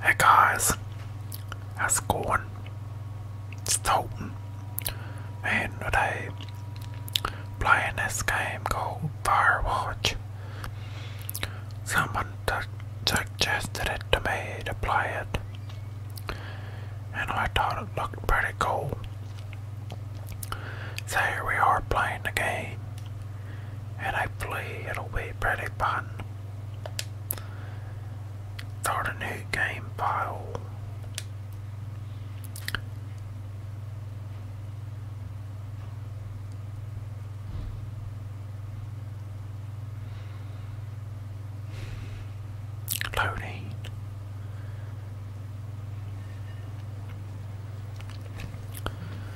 Hey guys, how's it going? It's Tolton, and today playing this game called Firewatch. Someone suggested it to me to play it, and I thought it looked pretty cool. So here we are playing the game, and hopefully it'll be pretty fun. Start a new game file. Loading.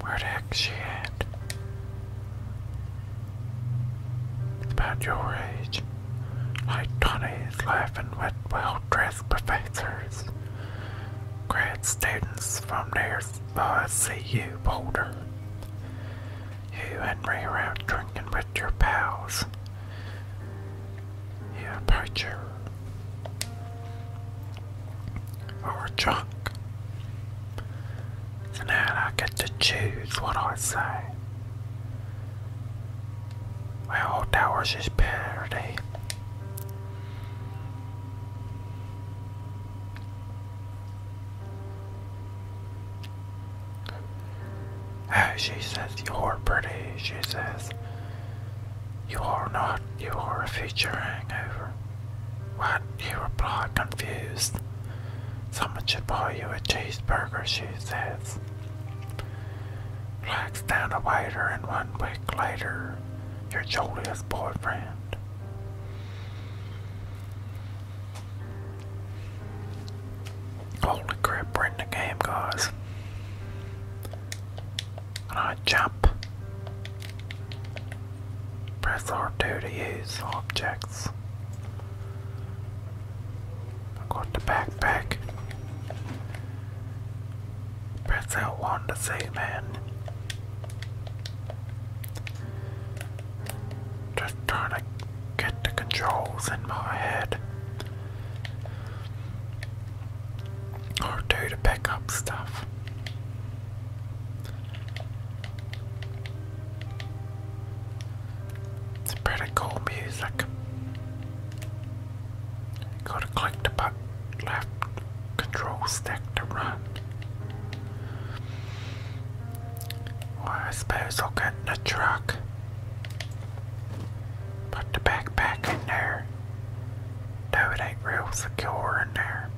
Where the heck she at? About your age, like Tony's laughing with well-dressed professors, grad students from near uh, CU Boulder. You and me are out drinking with your pals. You are a her or a drunk. And then I get to choose what I say. Well, that was his parody. she says, you're pretty, she says. You are not, you are a future hangover. What? You replied, confused. Someone should buy you a cheeseburger, she says. Blacks down a waiter, and one week later, your Julia's boyfriend. Holy crap, we the game, guys. Alright, jump. Press R2 to use objects. I got the backpack. Press L1 to see man. Just trying to get the controls in my head. R2 to pick up stuff. It's pretty cool music. gotta click the button, left control stick to run. Well, I suppose I'll get in the truck. Put the backpack in there. No, it ain't real secure in there.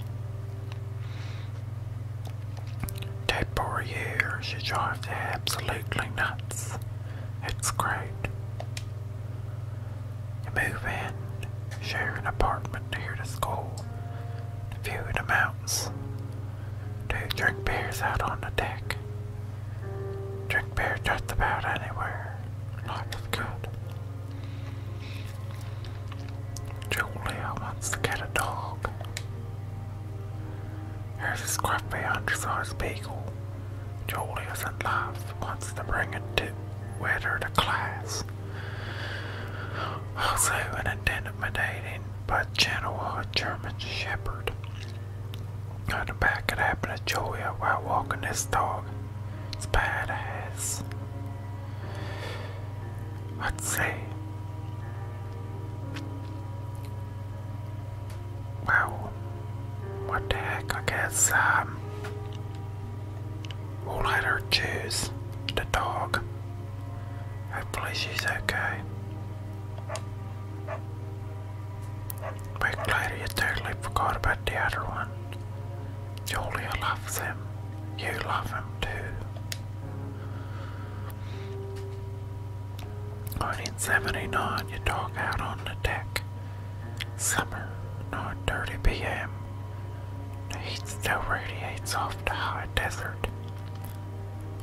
Tape for years, she drives you absolutely nuts. It's great. You move in, share an apartment near the school, view the mountains, to drink beers out on the deck, drink beer just about anywhere. Life is good. Julia wants to get a dog. Here's a scruffy undersized beagle. Julia's in love, wants to bring it to, with her to class. Also an intimidating but gentle German shepherd. On the back it happened to Julia while walking this dog. It's badass. I'd say, well, what the heck, I guess, um, we'll let her choose the dog. Hopefully she's okay. Big lady, you totally forgot about the other one. Julia loves him. You love him too. 1979, You talk out on the deck. Summer, 9.30 p.m. The heat still radiates off the high desert.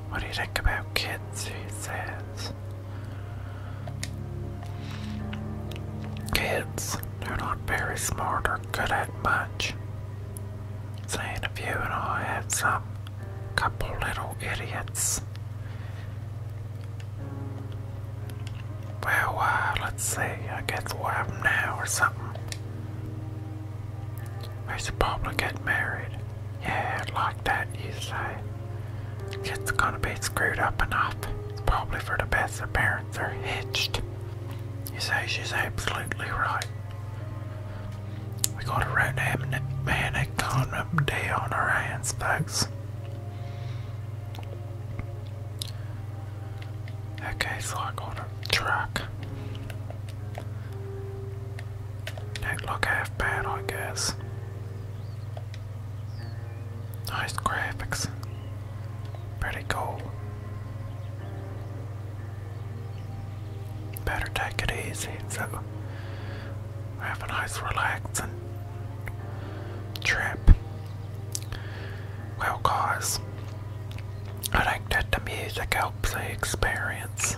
What do you think about kids, he says. Kids, they're not very smart or good at much. Seeing if you and I had some couple little idiots. Well, uh, let's see, I guess we'll have now or something. We should probably get married. Yeah, like that, you say. It's gonna be screwed up enough. probably for the best apparently they're hitched. You say she's absolutely right. We got a right manic condom day on our hands, folks. Okay, so I got truck. Don't look half bad, I guess. Nice graphics. Pretty cool. Better take it easy. So have a nice relaxing trip. Well guys, I think that the music helps the experience.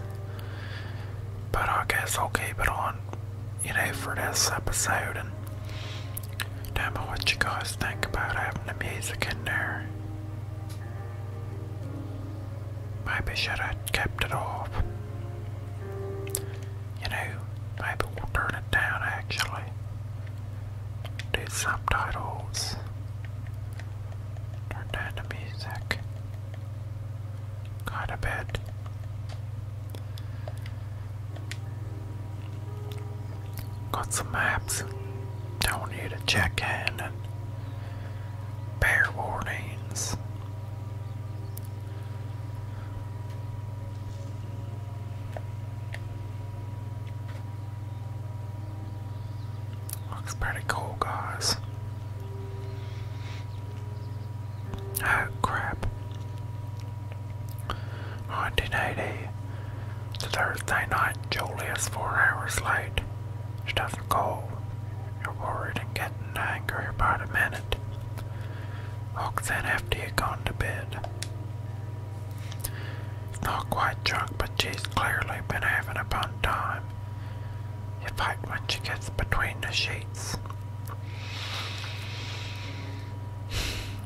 But I guess I'll keep it on, you know, for this episode Tell me what you guys think about having the music in there. Maybe should have kept it off. You know, maybe we'll turn it down actually. Do subtitles. Turn down the music. Quite a bit. Got some maps. Don't need a check in bear warnings. Looks pretty cool, guys. Oh crap. 1980 Thursday night, Julia's four hours late. She doesn't call. You're worried and getting angry about a minute. Walks in after you've gone to bed. not quite drunk, but she's clearly been having a fun time. You fight when she gets between the sheets.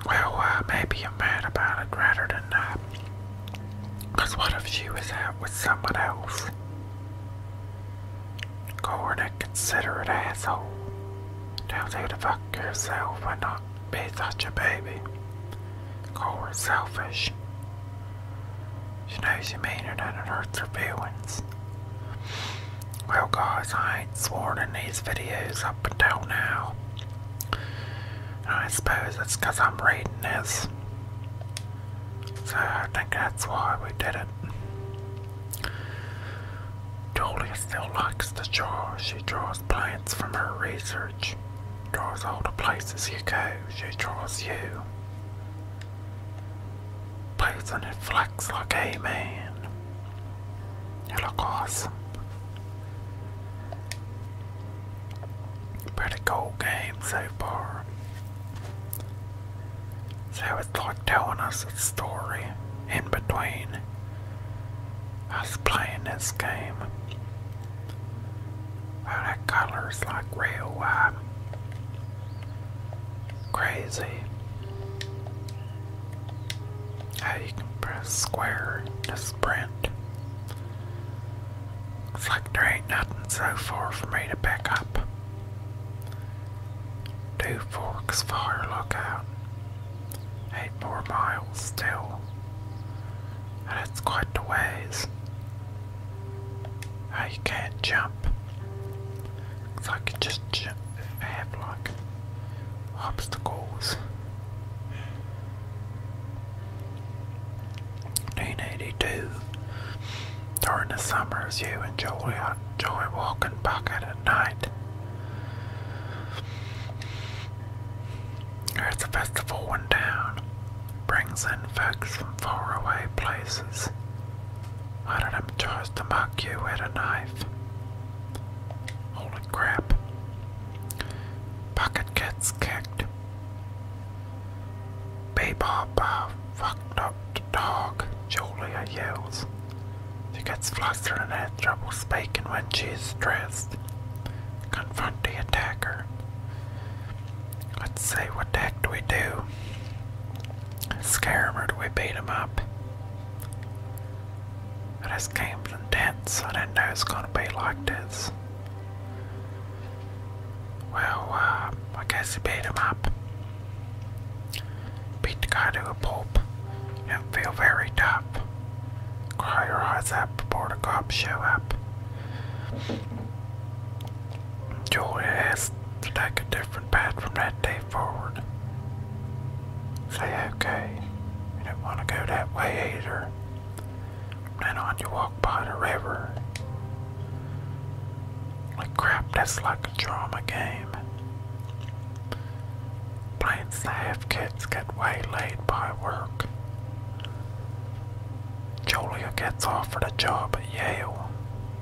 Well, uh, maybe you're mad about it rather than uh, because what if she was out with someone else? Call an inconsiderate Don't you to fuck yourself and not be such a baby. Call her selfish. She knows you mean it and it hurts her feelings. Well guys, I ain't sworn in these videos up until now. I suppose it's because I'm reading this. So I think that's why we did it. Julia still likes to draw. She draws plants from her research. Draws all the places you go. She draws you. Plays on it like a man. You look awesome. Pretty cool game so far. So it's like telling us a story in between us playing this game. Wow, oh, that color's like real uh, crazy. How you can press square sprint. Looks like there ain't nothing so far for me to pick up. Two forks fire lookout. Eight more miles still. And it's quite the ways. Oh, you can't jump. Looks like you just jump have like obstacles. 1982. During the summers, you and enjoy, enjoy walking bucket at night. There's a festival in town. Brings in folks from far away places. One of them tries to mock you with a knife. Holy crap. Bucket gets kicked. Bebop fucked up dog, Julia yells. She gets flustered and has trouble speaking when she's stressed. Confront the attacker. Let's see, what the heck do we do? Scare him or do we beat him up? This game's intense. I didn't know it's gonna be like this. Well, uh, I guess he beat him up. Beat the guy to a pulp. It feel very tough. Cry your eyes out before the cops show up. Julia has to take a different path from that day forward. Say okay. You don't want to go that way either. Then on you walk by the river. Like crap, that's like a drama game. Plain staff kids get waylaid by work. Julia gets offered a job at Yale.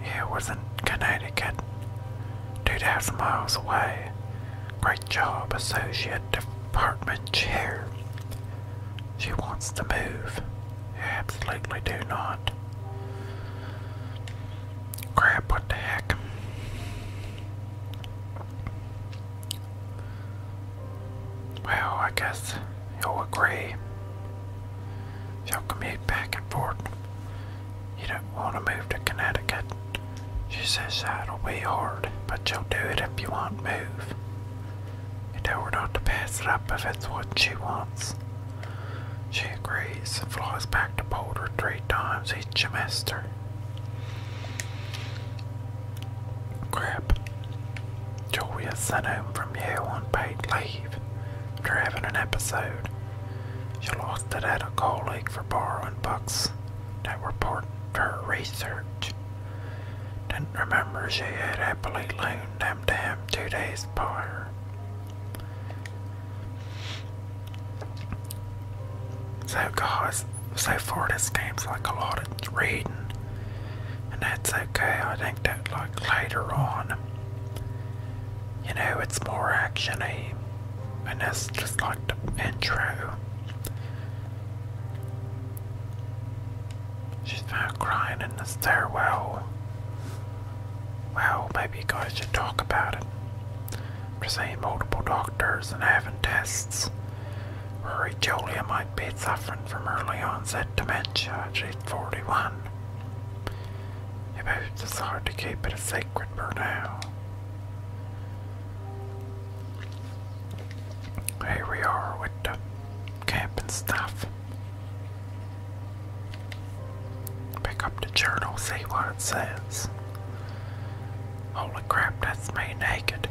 Yale was in Connecticut, 2,000 miles away. Great job, associate department chair. She wants to move. You absolutely do not. Crap, what the heck? Well, I guess you'll agree. She'll commute back and forth. You don't want to move to Connecticut. She says that'll be hard, but you'll do it if you want to move and tell her not to pass it up if it's what she wants. She agrees and flies back to Boulder three times each semester. Crap. Julia sent home from Yale on paid leave after having an episode. She lost to at a colleague for borrowing books that were part of her research. Didn't remember she had happily loaned them to him two days prior. So guys, so far this game's like a lot of reading, and that's okay. I think that like later on, you know, it's more actiony, and that's just like the intro. She's now crying in the stairwell. Well, maybe you guys should talk about it. We're seeing multiple doctors and having tests. Worry Julia might be suffering from early onset dementia. She's 41. You both to keep it a secret for now. Here we are with the camping stuff. Pick up the journal, see what it says. Holy crap, that's me naked.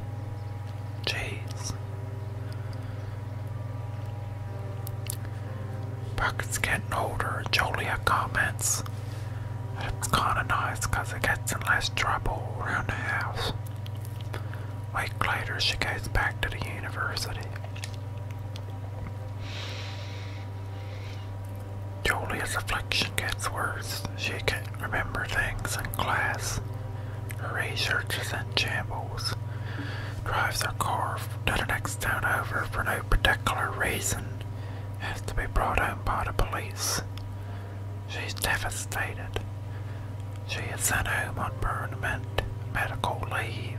Jeez. Bucket's getting older. Julia comments. It's kinda nice because it gets in less trouble around the house. Week later, she goes back to the university. Julia's affliction gets worse. She can't remember things in class. Her research is in shambles. Drives her car to the next town over for no particular reason. Has to be brought home by the police. She's devastated. She is sent home on permanent medical leave.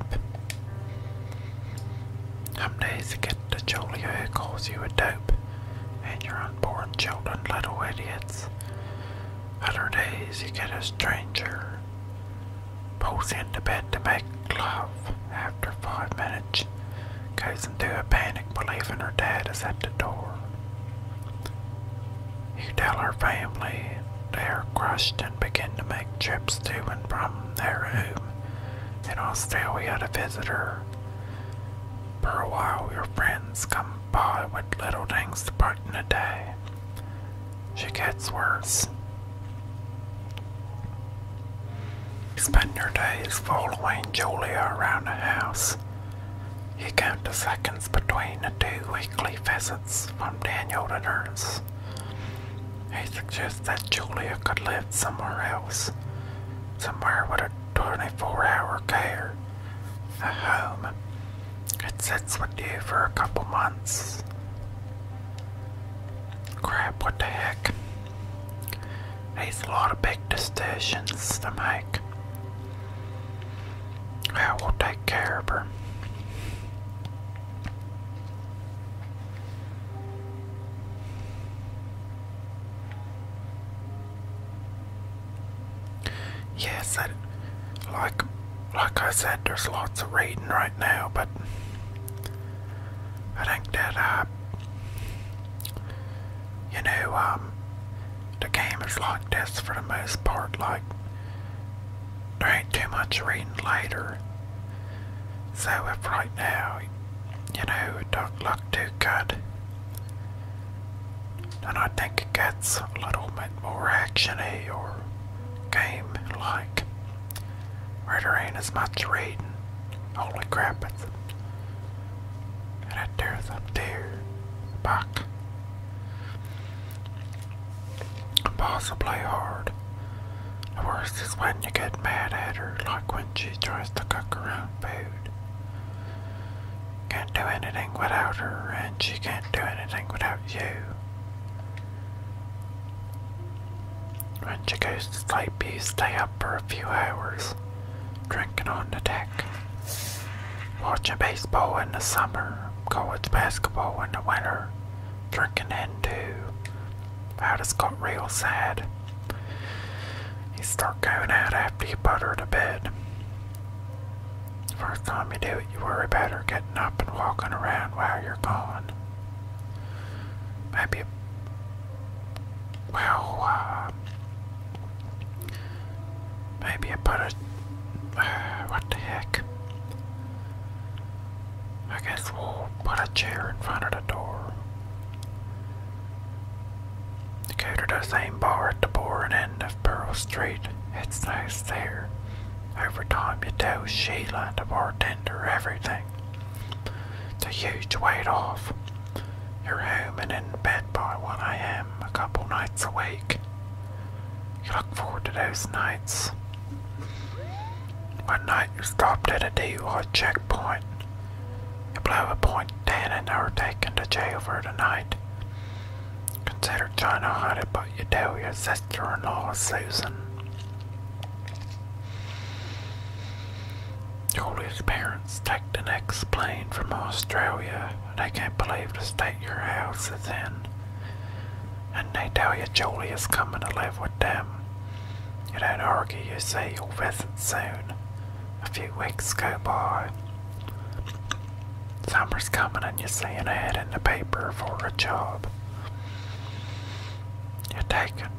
Some days you get to Julia who calls you a dope and your unborn children little idiots. Other days you get a stranger pulls into bed to make love after five minutes, goes into a panic believing her dad is at the door. You tell her family they are crushed and begin to make trips to and from their home in Australia to visit her. For a while, your friends come by with little things to brighten the day. She gets worse. spend your days following Julia around the house, he count the seconds between the two weekly visits from Daniel to nurse. He suggests that Julia could live somewhere else, somewhere with a 24 hour care, a home that sits with you for a couple months. Crap, what the heck? He's a lot of big decisions to make. I will take care of her. Yes, I, like like I said, there's lots of reading right now, but I think that I, uh, you know, um, the game is like this for the most part. Like, there ain't too much reading later. So if right now, you know, it don't look too good, then I think it gets a little bit more actiony or game-like, where there ain't as much reading. Holy crap, it's... And it up there, back. Boss will hard. The worst is when you get mad at her, like when she tries to cook her own food. Can't do anything without her, and she can't do anything without you. When she goes to sleep, you stay up for a few hours, drinking on the deck. Watching baseball in the summer, college basketball in the winter, drinking in too. I just got real sad. You start going out after you put her to bed. First time you do it, you worry about her getting up and walking around while you're gone. Maybe, well, uh, Maybe I put it. what the heck? I guess put a chair in front of the door. Go to the same bar at the boring end of Pearl Street. It's nice there. Over time, you tell Sheila, the bartender, everything. The huge weight off. You're home and in bed by 1 a.m. a couple nights a week. You look forward to those nights. One night you stopped at a DUI checkpoint. You blew a point ten and are taken to jail for the night. Consider trying to hide it, but you tell your sister-in-law, Susan. Julie's parents take the next plane from Australia they can't believe to state your house is in. And they tell you Julie is coming to live with them. You don't argue, you say you'll visit soon. A few weeks go by. Summer's coming and you see an ad in the paper for a job. You take it.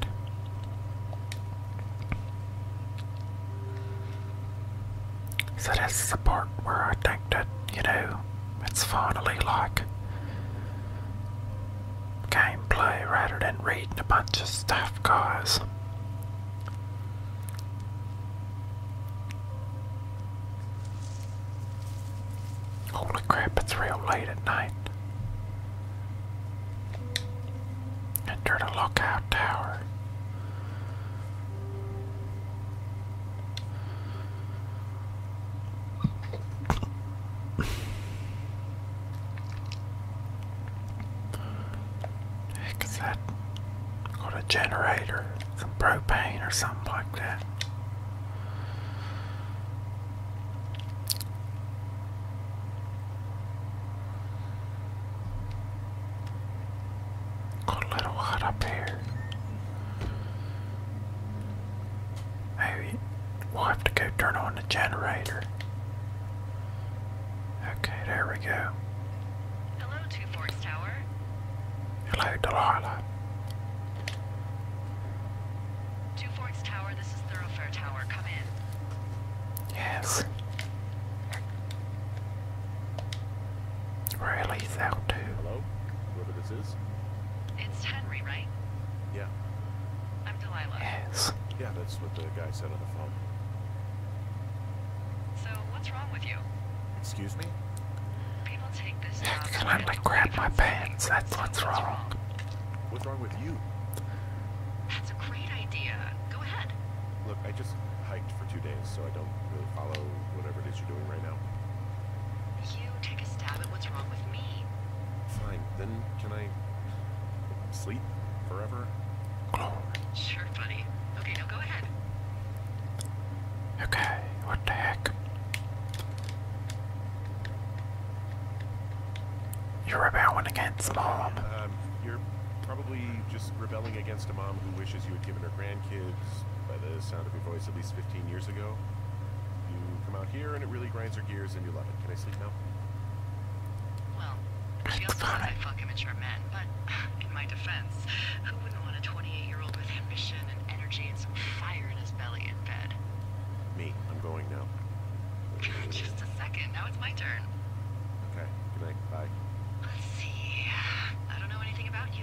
So this is the part where I that, you know, it's finally like gameplay rather than reading a bunch of stuff, guys. Holy crap, it's real late at night. Enter the lookout tower. Heck that? Got a generator, some propane or something like that. Got a little hot up here. Maybe we'll have to go turn on the generator. Okay, there we go. Hello, Two Forks Tower. Hello, Delilah. Two Forks Tower, this is Thoroughfare Tower. Come in. Yes. Really, thou too. Hello? Whoever this is? It's Henry, right? Yeah. I'm Delilah. Yes. Yeah, that's what the guy said on the phone. So, what's wrong with you? Excuse me? People take this Can I grab my pants? That's what's wrong. What's wrong with you? That's a great idea. Go ahead. Look, I just hiked for two days, so I don't really follow whatever it is you're doing right now. You take a stab at what's wrong with me. Fine, then can I sleep forever? Sure, buddy. Okay, now go ahead. Okay, what the heck? You're rebelling against mom. Um, you're probably just rebelling against a mom who wishes you had given her grand Kids, by the sound of your voice, at least 15 years ago. You come out here and it really grinds your gears and you love it. Can I sleep now? Well, she also says I fuck immature men, but in my defense, who wouldn't want a 28-year-old with ambition and energy and some fire in his belly in bed? Me. I'm going now. Just a second. Now it's my turn. Okay. Good night. Bye. Let's see. I don't know anything about you.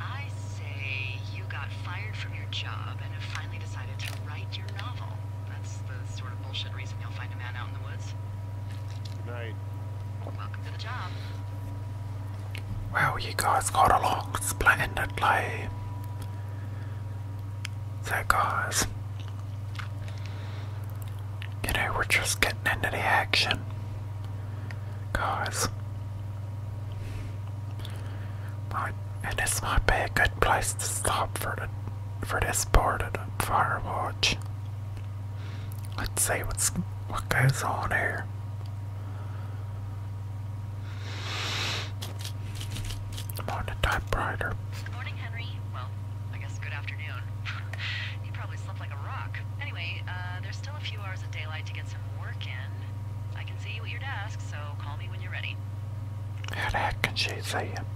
I say you got fired from your job and have finally decided to write your novel. That's the sort of bullshit reason you'll find a man out in the woods. Good night. Welcome to the job. Well, you guys got along splendidly. So, guys, you know, we're just getting into the action. Guys. Might, and this might be a good place to stop for the for this part of the Let's see what's what goes on here. I'm on the typewriter. Good morning, Henry. Well, I guess good afternoon. He probably slept like a rock. Anyway, uh, there's still a few hours of daylight to get some work in. I can see you at your desk, so call me when you're ready. How the heck can she see him?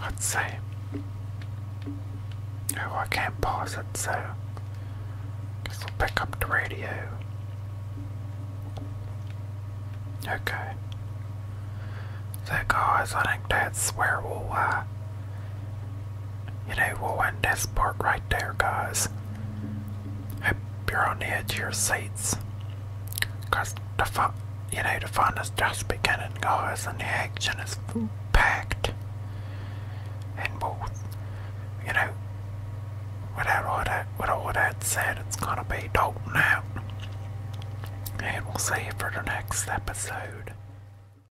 Let's see. Oh, I can't pause it, so guess will pick up the radio. Okay. So guys, I think that's where we'll uh, you know, we'll end this part right there, guys. Hope you on edge your seats. Because the fun, you know, the fun is just beginning, guys, and the action is packed. And we you know, without all that, with all that said, it's gonna be Dalton out. And we'll see you for the next episode.